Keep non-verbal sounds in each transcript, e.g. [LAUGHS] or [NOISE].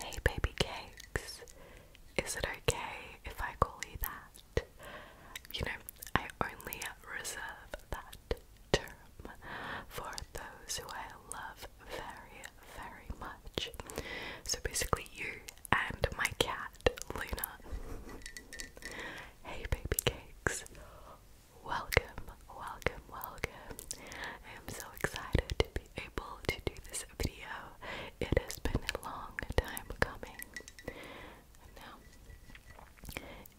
Hey, baby cakes. Is it okay if I call you that? You know, I only reserve that term for those who I love very very much. So basically, you and my cat, Luna. hey, baby cakes. Welcome, welcome, welcome. I am so excited to be able to do this video. It has been a long time coming. now,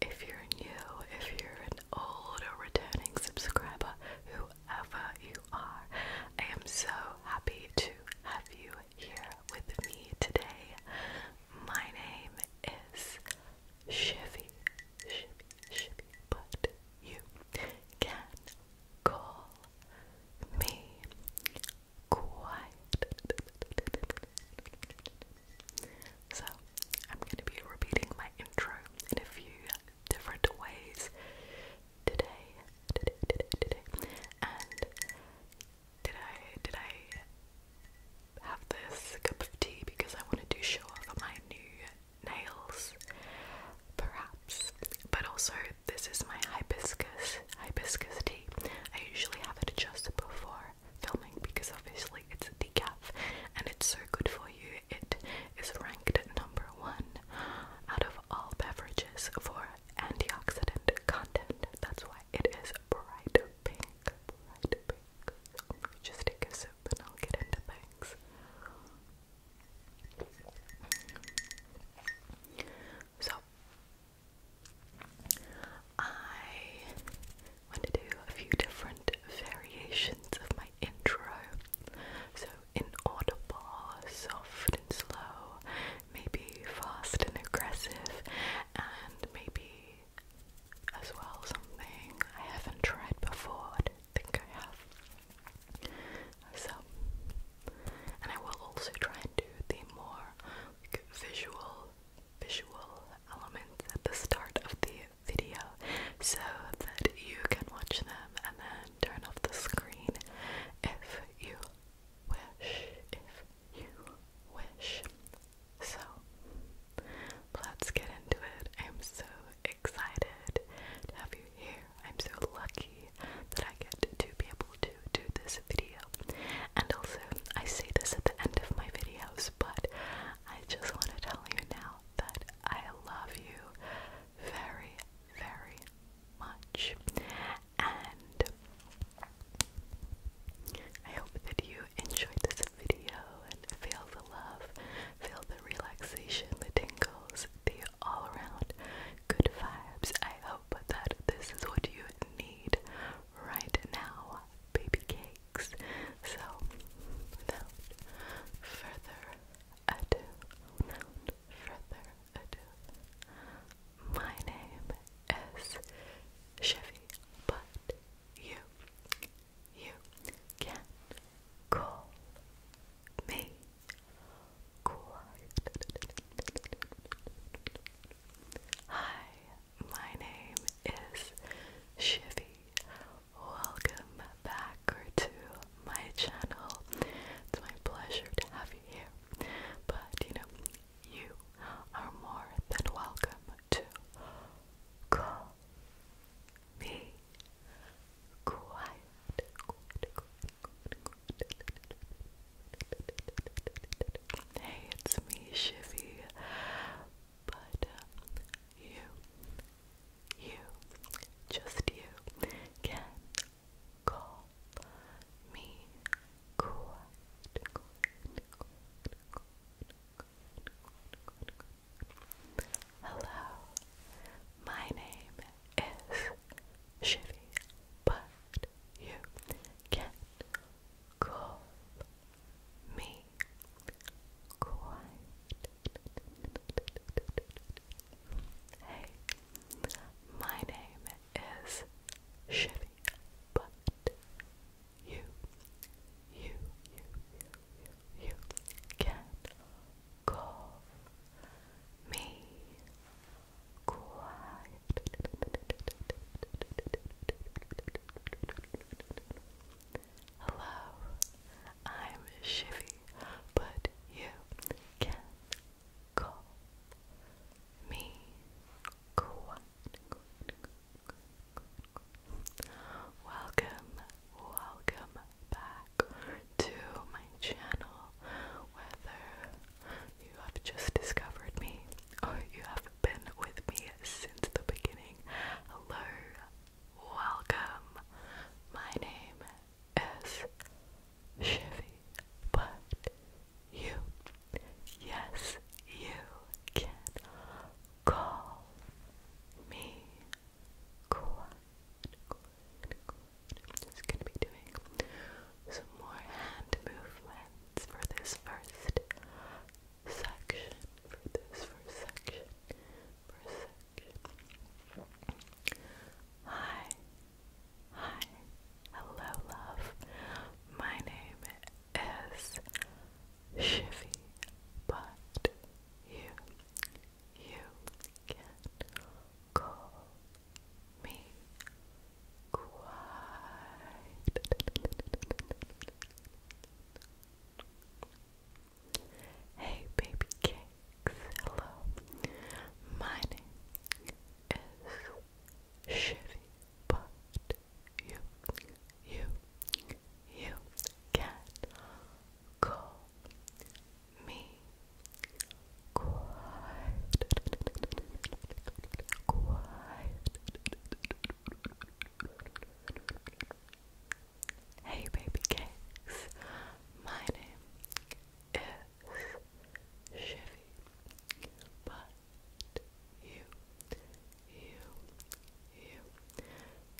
if you're new, if you're an old or returning subscriber who whoever you are. I am so happy to have you here with me today. My name is Shivy, Shivy, Shivy, but you can call me Quiet. So, I'm going to be repeating my intro in a few different ways today, today, today, today. And did I did I have this cup of tea because I wanted to show off my new nails? Perhaps. But also this is my hibiscus hibiscus tea. I usually have it just before filming because obviously it's decaf and it's so good for you. It is ranked number one out of all beverages for antioxidant content. That's why it is bright pink. just take a sip and I'll get into things. So I want to do a few different variations of my intro so inaudible, soft and slow, maybe fast and aggressive, and maybe as well something I haven't tried before. I don't think I have. So, and I will also try and do the more visual, visual elements at the start of the video so that you can watch them and then turn off the screen if you wish. If you wish. So, let's get into it. I'm so excited to have you here. I'm so lucky that I get to be able to do this video. And also, I say this at the end of my videos, but I just want to tell you now that I love you very, very much. And I hope that you enjoyed this video and feel the love, feel the relaxation, the tingles, the all around good vibes. I hope that this is what you need right now, baby cakes. So, without further ado, without ado, my name is Chevy, but you, you can call me Quark. Hi, my name is Chevy, Welcome back to my channel. It's my pleasure to have you here. But you know, you are more than welcome to call me Hey, it's me, Shivy. But you, you, just you can call me quite, Hello, my name is Shivy, but you can't call me quite Hey, my name is Chevy, but you, you, you, you, you can call me quiet. Hello, I'm Shivy, but you can call me Quack. Welcome, welcome back to my channel. Whether you have just discovered me or you have been with me since the beginning, hello, Welcome. My name is Chevy, but you, yes, you can call me Quad. Quad, gonna be doing some more hand movements for this first section. For this First section. Hi. Hi. Hello, love. My name is Shivy, but you, you can call me quiet. Hey baby cakes, hello. My name is Shitty, but you, you, you can call me quiet, quiet. Hey baby cakes, my name is Chevy, but you, you, you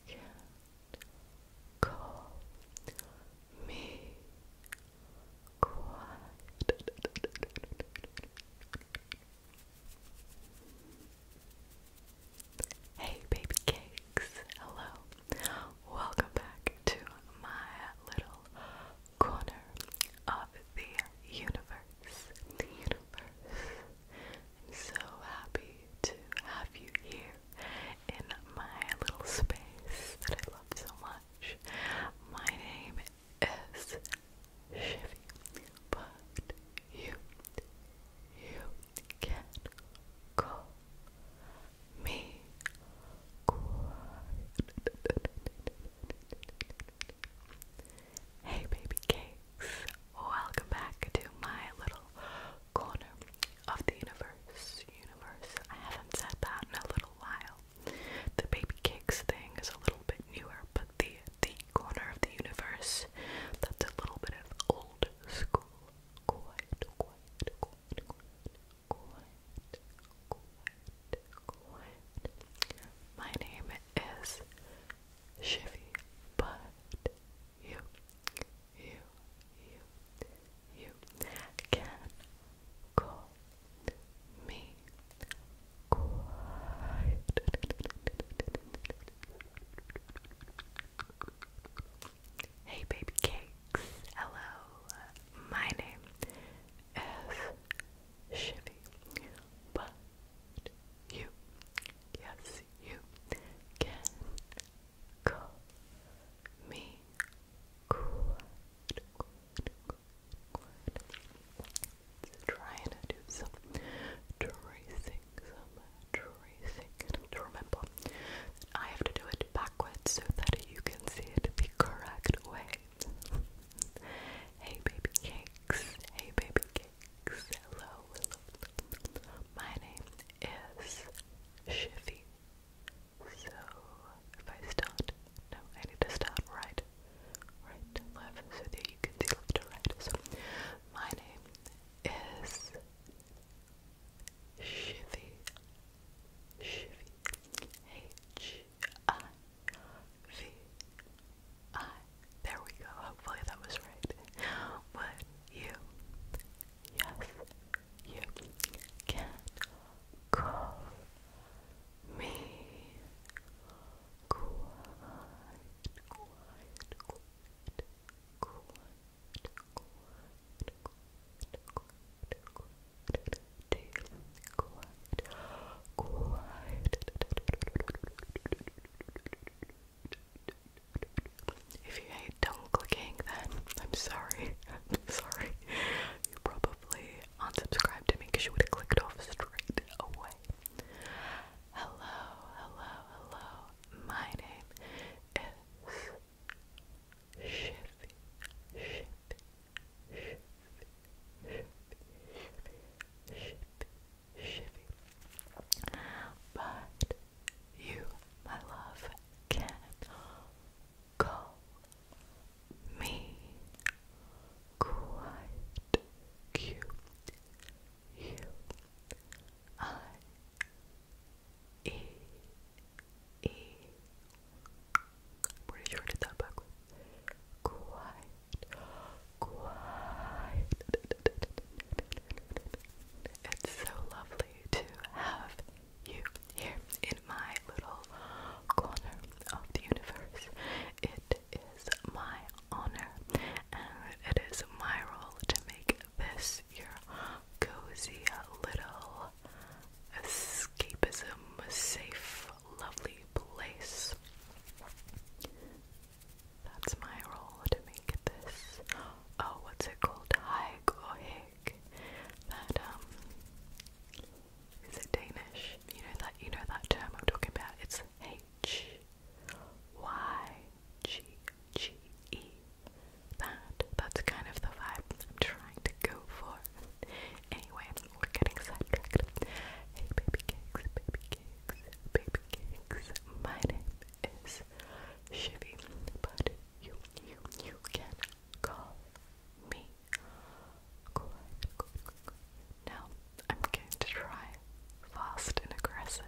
can call me quiet. Hey, baby cakes. Hello. Welcome back to my little corner of the universe. universe. I'm so happy to have you here in my little space that I love so much. My name is Shivy, but you you can call me Hey, baby cakes. Welcome back to my little corner of the universe. Universe. I haven't said that in a little while. The baby cakes thing is a little bit newer, but the the corner of the universe that's a little bit of old school quiet, quiet, quiet, quiet, quiet, quiet. My name is Shivy, but you, you, you, you can call me quiet. Hey baby cakes, hello. My name is Shivy, but you, yes, you can call me Quad. Trying to do some tracing, some tracing to remember I have to do it backwards so that you can see it the correct way. hey baby cakes, hey baby cakes, hello, My name is Shivy. So if I start, no, I need to start right, right left, so that you can see left to right. So my name is Shivy, Shivy, H I V I. There we go. Hopefully that was right. Would you, yes, you can call me quiet, quiet, quiet, quiet. If you hate tongue clicking, then I'm sorry. [LAUGHS] sorry. You probably unsubscribed to me because you would have clicked off straight away. Hello, hello, hello. My name is Shifty, Shifty, Shifty, Shifty, Shifty, Shifty. But you, my love, can call me quite cute. U I E E. I'm sure I did that Quiet, quiet. It's so lovely to have you here in my little corner of the universe. It is my honor and it is my role to make this your cozy little escapism safe, lovely place. That's my role to make this. Oh, what's it called? Haig That um, is it Danish? You know that you know that term I'm talking about. It's H Y G G E. That that's kind of the vibe I'm trying to go for. Anyway, we're getting sidetracked. Hey baby cakes, baby cakes, baby cakes. My name is Shivy, but you you you can call me. Now I'm going to try fast and aggressive.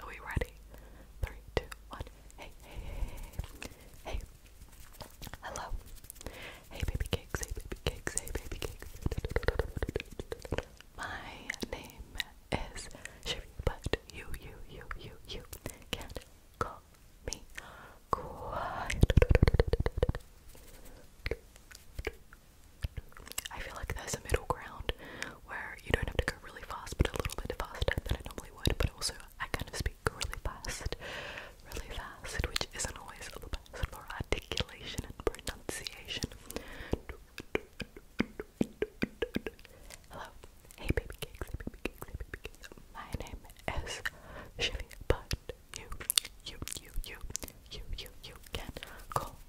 Are we ready? Three, two, one. Hey, hey, hey, hey. Hey. Hello. Hey, baby cakes, hey, baby cakes, hey, baby cakes. My name is Shivy, but you, you, you, you, you can call me quiet. I feel like there's a middle ground where you don't have to go really fast, but a little bit faster than I normally would, but also I kind of speak really fast, really fast, which isn't always the best for articulation and pronunciation. Hello, hey baby cakes, baby cakes, baby cakes. My name is Shivy, but you, you, you, you, you, you, you can call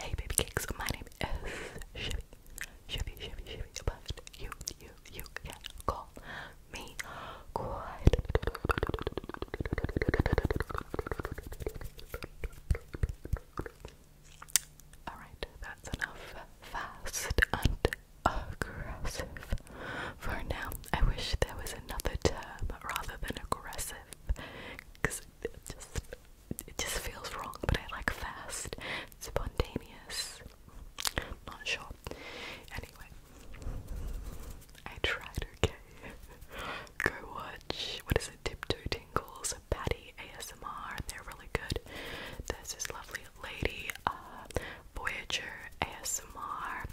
Hey baby cakes, my name is Shivy, Shivy, Shivy, Shivy, you, you, you call me quiet. Alright, that's enough fast and aggressive for now. I wish there was another term rather than aggressive because it just it just feels wrong, but I like fast, spontaneous. Not sure. Anyway, I tried. Okay, go watch. What is it? Tiptoe Tingles, Patty ASMR. they're really good. There's this lovely lady, uh, Voyager ASMR,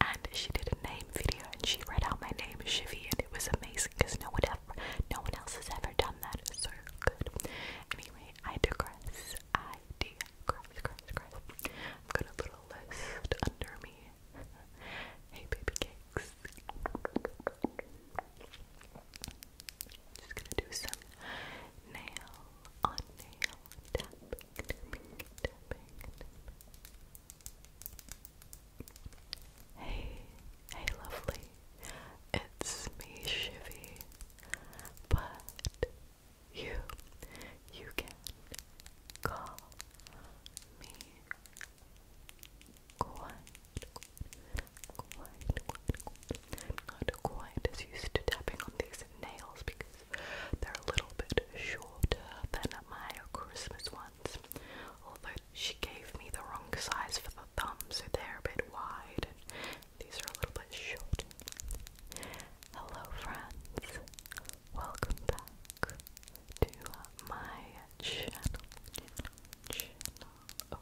and she did a name video and she read out my name, Shivy, and it was amazing because no one ever, no one else has ever done that. So good. Anyway, I digress. I digress, I've got a little list under me. hey, baby cakes. Just gonna do some nail nail tapping, tapping. Hey, hey lovely, it's me Shivy, but you, you can call me quite, not quite as used to tapping on these nails because they're a little bit shorter than my Christmas ones, although she gave me the wrong size for the thumbs; they're a bit wide, these are a little bit short. Hello, friends. Welcome back to my channel. Oh,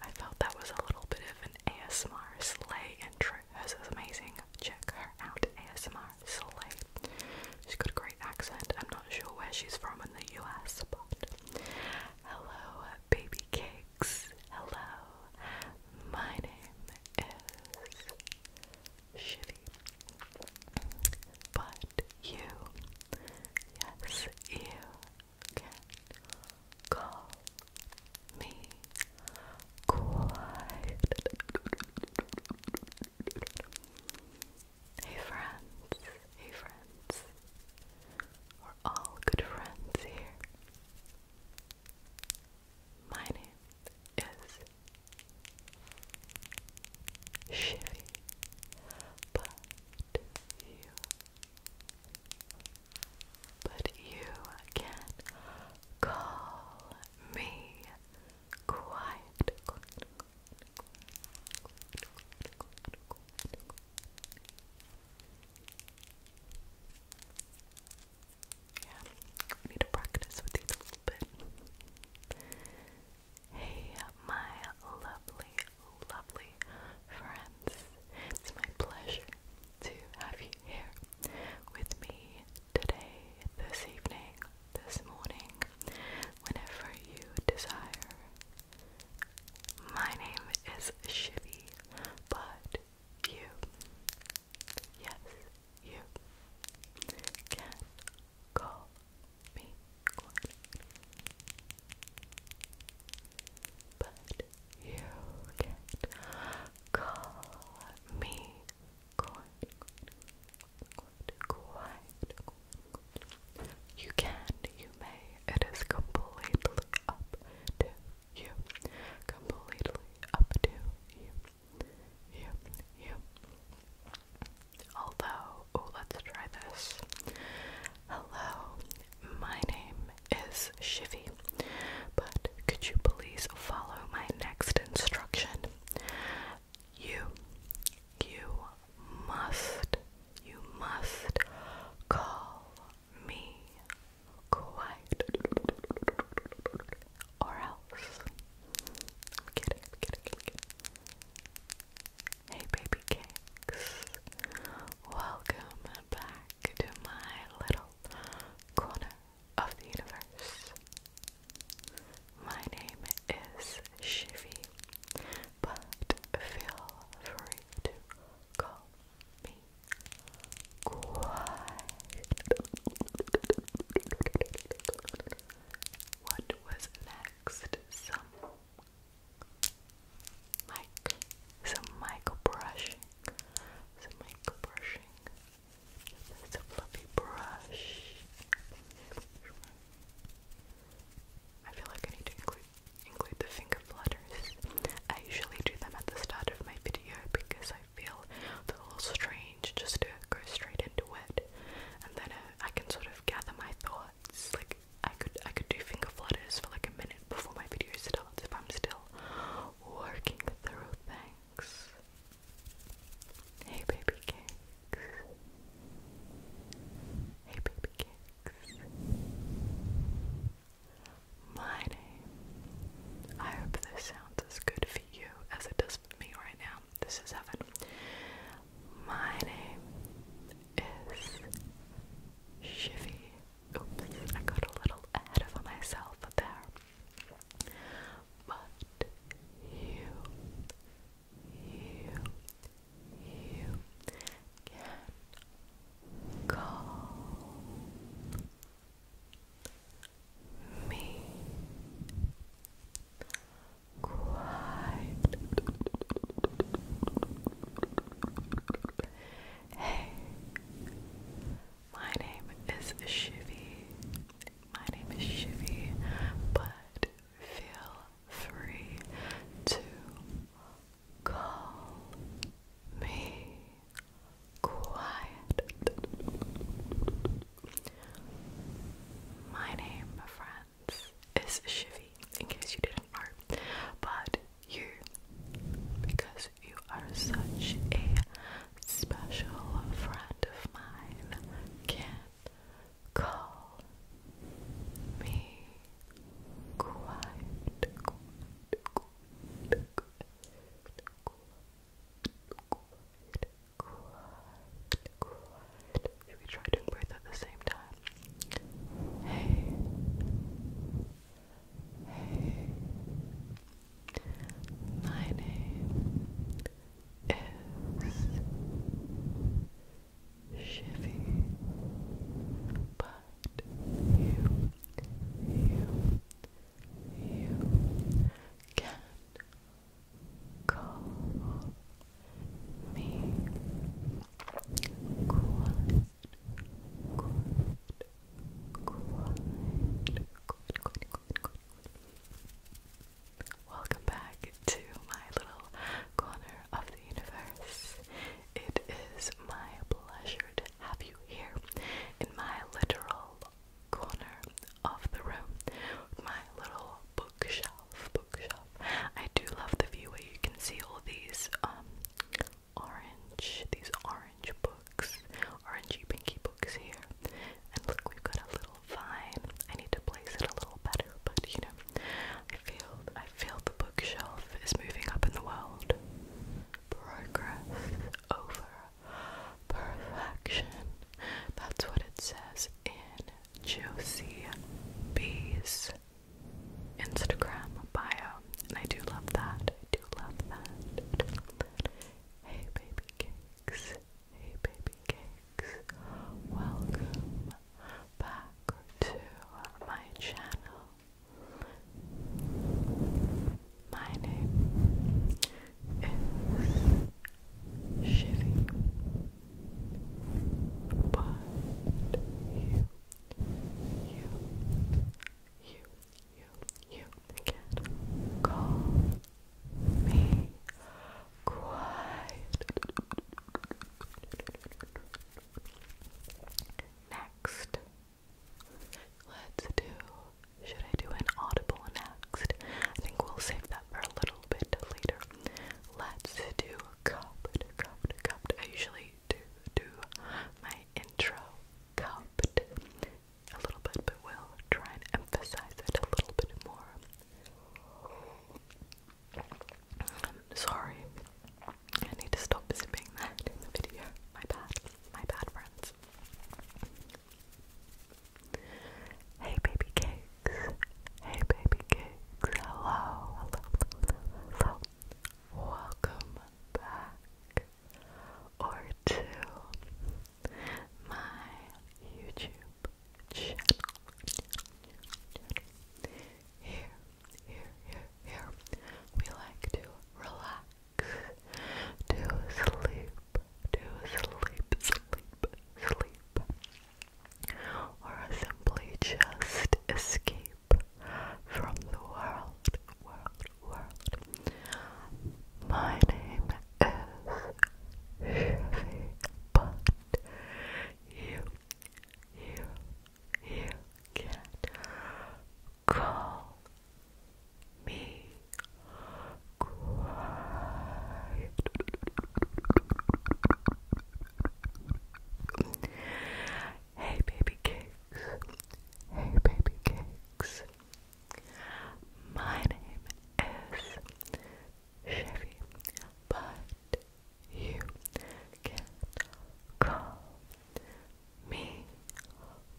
I felt that was a little bit of an ASMR sleigh intro. This is amazing. Check her out, ASMR Slay. She's got a great accent. I'm not sure where she's from in the US, but hello, baby cakes. Hello, my name is Shitty, but you, yes, you can call me quiet. Hey friends, hey friends. We're all good friends here. My name is Shivy, but you, but you can call me quiet, Yeah, need to practice with these a little bit. Hey, my lovely, lovely friends. It's my pleasure to have you here with me today, this evening, this morning, whenever you desire. My name is Shivy, but you, yes, you can call me But you can call me you can, you may. It is completely up to you. Completely up to you. You, you. Although, oh, let's try this. Hello, my name is Shifty. but could you please follow my next instruction? you you must you must call me quite or else I'm kidding, I'm kidding. Hey baby cakes welcome back to my little corner of the universe my name is Shivy, but feel free to call me What was next? Some some mic brushing, some mic brushing. It's fluffy brush. I feel like I need to include include the finger flutters. I usually do them at the start of my video because I feel a little strange just to go straight into it, and then I, uh, I can sort of gather my thoughts. Like I could I could do finger flutters for like a minute before my video starts if I'm still working through things. Hey baby cakes. Hey baby cakes. My name. I hope this sounds as good for you as it does for me right now. This is heaven. My name is Shivy. Oops, I got a little ahead of myself there. But you you you can call me quite Hey My name is Shivie. My name is Shivy, but feel free to call me quiet. My name, friends, is Shivy, in case you didn't know. But you, because you are such a special friend of mine, can Call me quiet, quiet, we try doing both at the same time? Hey, hey. My is Chevy, but you, you, you can call me quiet, quiet, quiet, quiet, quiet, quiet, quiet. Welcome back to my little corner of the universe. It is my pleasure to have you here in my literal corner of the room, my little bookshelf. Bookshelf. I do love the view where you can see all these um orange, these orange books, orangey pinky books here. And look, we've got a little fine. I need to place it a little better, but you know, I feel I feel the bookshelf is moving up in the world. Progress over perfection. That's what it says in Josie B's Instagram bio. And I do love that. I do love that. Hey baby cakes. Hey baby cakes, welcome back to my channel. My name is Shitty, but you, you, you, you, you can call Next, let's do. Should I do an audible next? I think we'll save that for a little bit later. Let's do cupped, cupped, cupped. I usually do do my intro cupped, a little bit, but we'll try and emphasize it a little bit more. I'm um, sorry. I need to stop zipping that in the video. My bad. My bad, friends. Hey, baby cakes. Hey, baby cakes. Hello. Hello. Hello. Welcome back. Or to my YouTube channel. Here, here, here, here, we like to relax, to sleep, to sleep, sleep, sleep, or simply just escape from the world, world, world. My name but you, you, you can call me quiet. Hey, baby cakes. Hey, baby cakes. My name is Chevy, but you can call me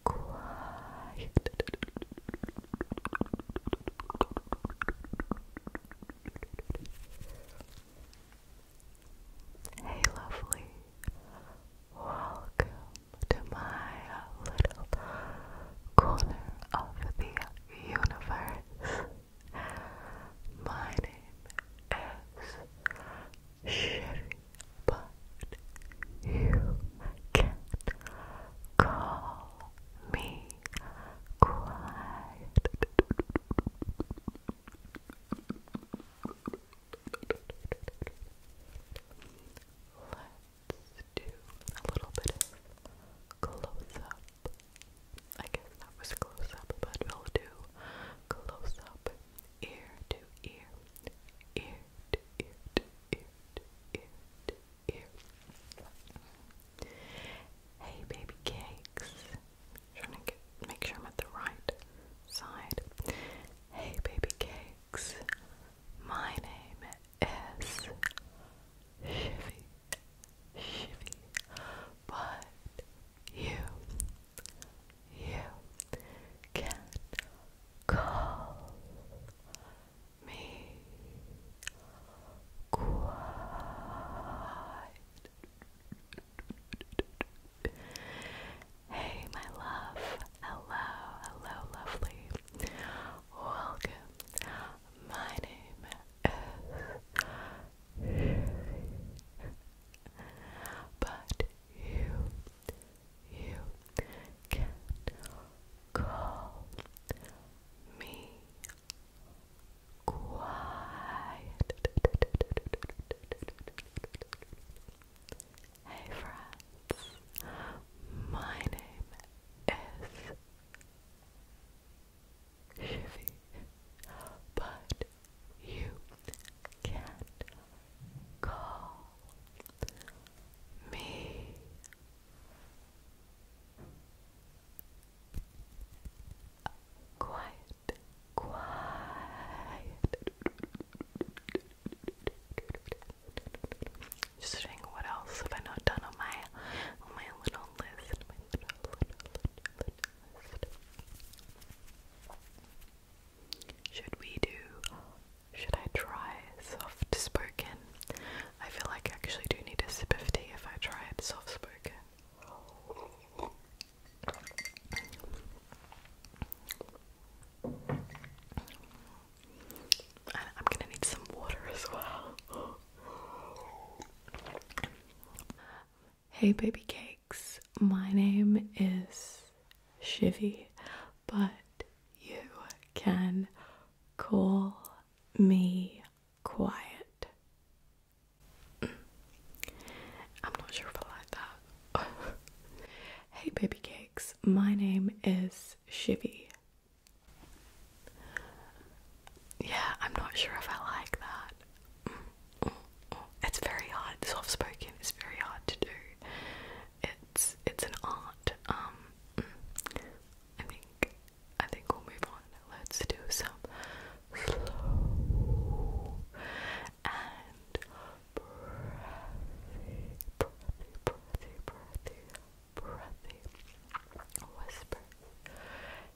quiet. Hey, lovely, welcome to my little corner of the universe. My name is Sherry, but you can call me quiet do a little bit of close up. I guess that was close up, but we'll do close up ear to ear, ear to ear ear to ear to ear. Hey, baby cakes. trying to get, make sure I'm at the right side. Hey, baby cakes. My name is Chevy, Chevy, but you, you can call me quiet. Hey, my love. Hello, hello, lovely. Welcome. My name is But you, you can call me quiet. Hey friends, my name is but you can call me quiet, quiet. Just saying, what else have I not done on my on my little list? Should we do? Should I try soft spoken? I feel like I actually do need a sip of tea if I try it soft spoken. I'm gonna need some water as well. hey, baby cakes. My name is Shivy, but you can call me quiet. [CLEARS THROAT] I'm not sure if I like that. [LAUGHS] hey, baby cakes. My name is Shivy, yeah, I'm not sure if I like that. It's very hard. Soft spoken is very hard to do. It's it's an art. Um, I think I think we'll move on. Let's do some slow and breathy, breathy, breathy, breathy breathy whisper.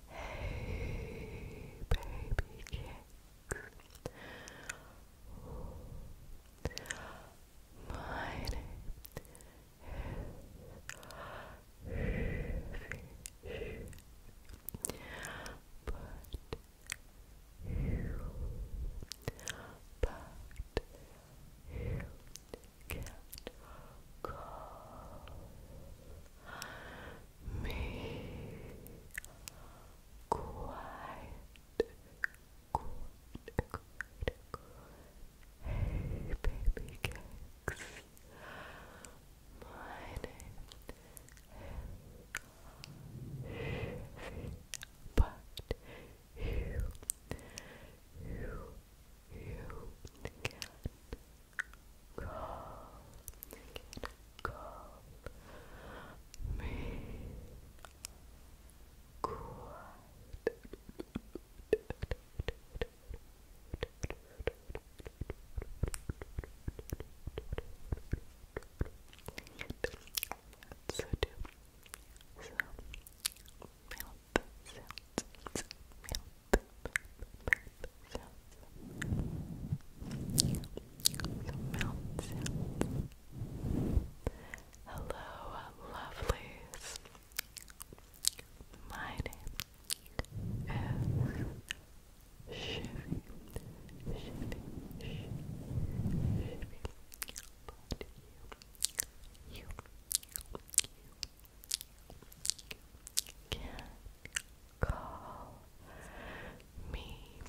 Hey, baby cakes. My but you, but you can't call me quiet, quiet, quiet, Hey baby cakes, my name but you, you, you can call, can call me quiet so Hello, lovelies. My name is Shivy. Shivy, Shivy, you you, you can call me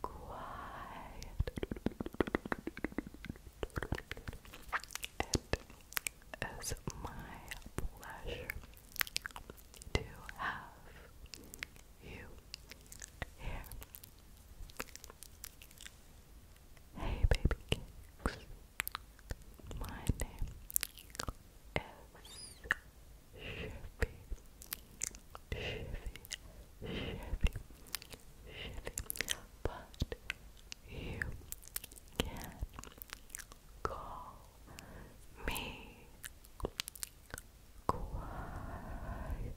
quiet it is my pleasure to have you here Hey baby kicks. My name is Chevy. Chevy. Chevy. Chevy. But you can call me quiet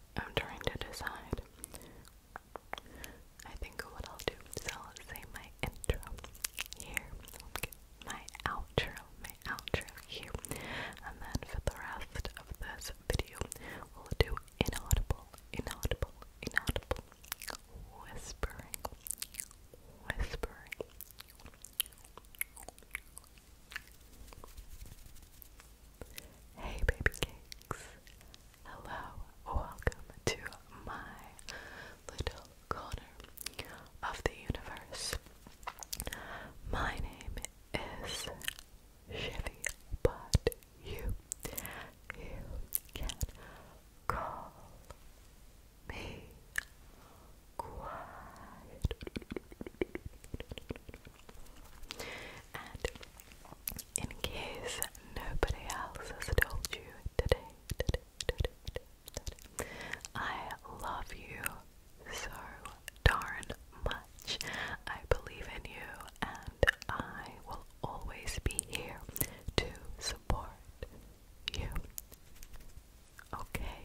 I'm trying to decide. I think what I'll do is I'll say my intro here, my outro, my outro here, and then for the rest of this video, we'll do inaudible, inaudible, inaudible whispering, whispering, Hey baby cakes. Hello. Welcome to my little corner of the universe. My name is Chevy, but you you can call me quiet in case nobody else has told you today I love you so darn much. I believe in you, and I will always be here to support you. Okay,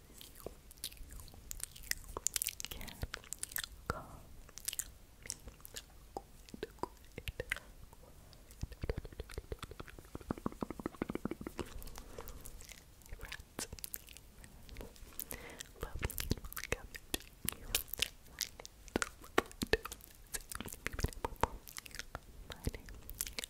can call me quiet, quiet, quiet. Rats, puppy, cabbage, my name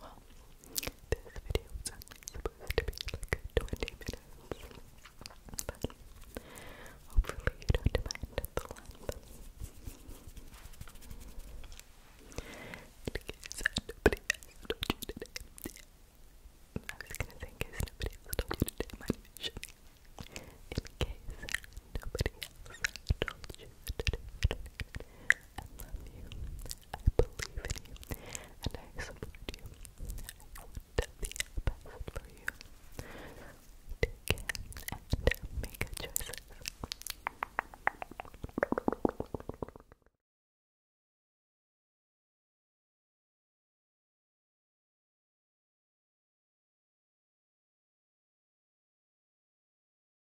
Well, this video was supposed to be like 20 minutes, hopefully you don't mind the length. In case nobody has you today, I was gonna say in case nobody has you today, my mission. In case nobody else you today, I love you. I believe in you. And I support you. I want the best for you. Take care and make good choices.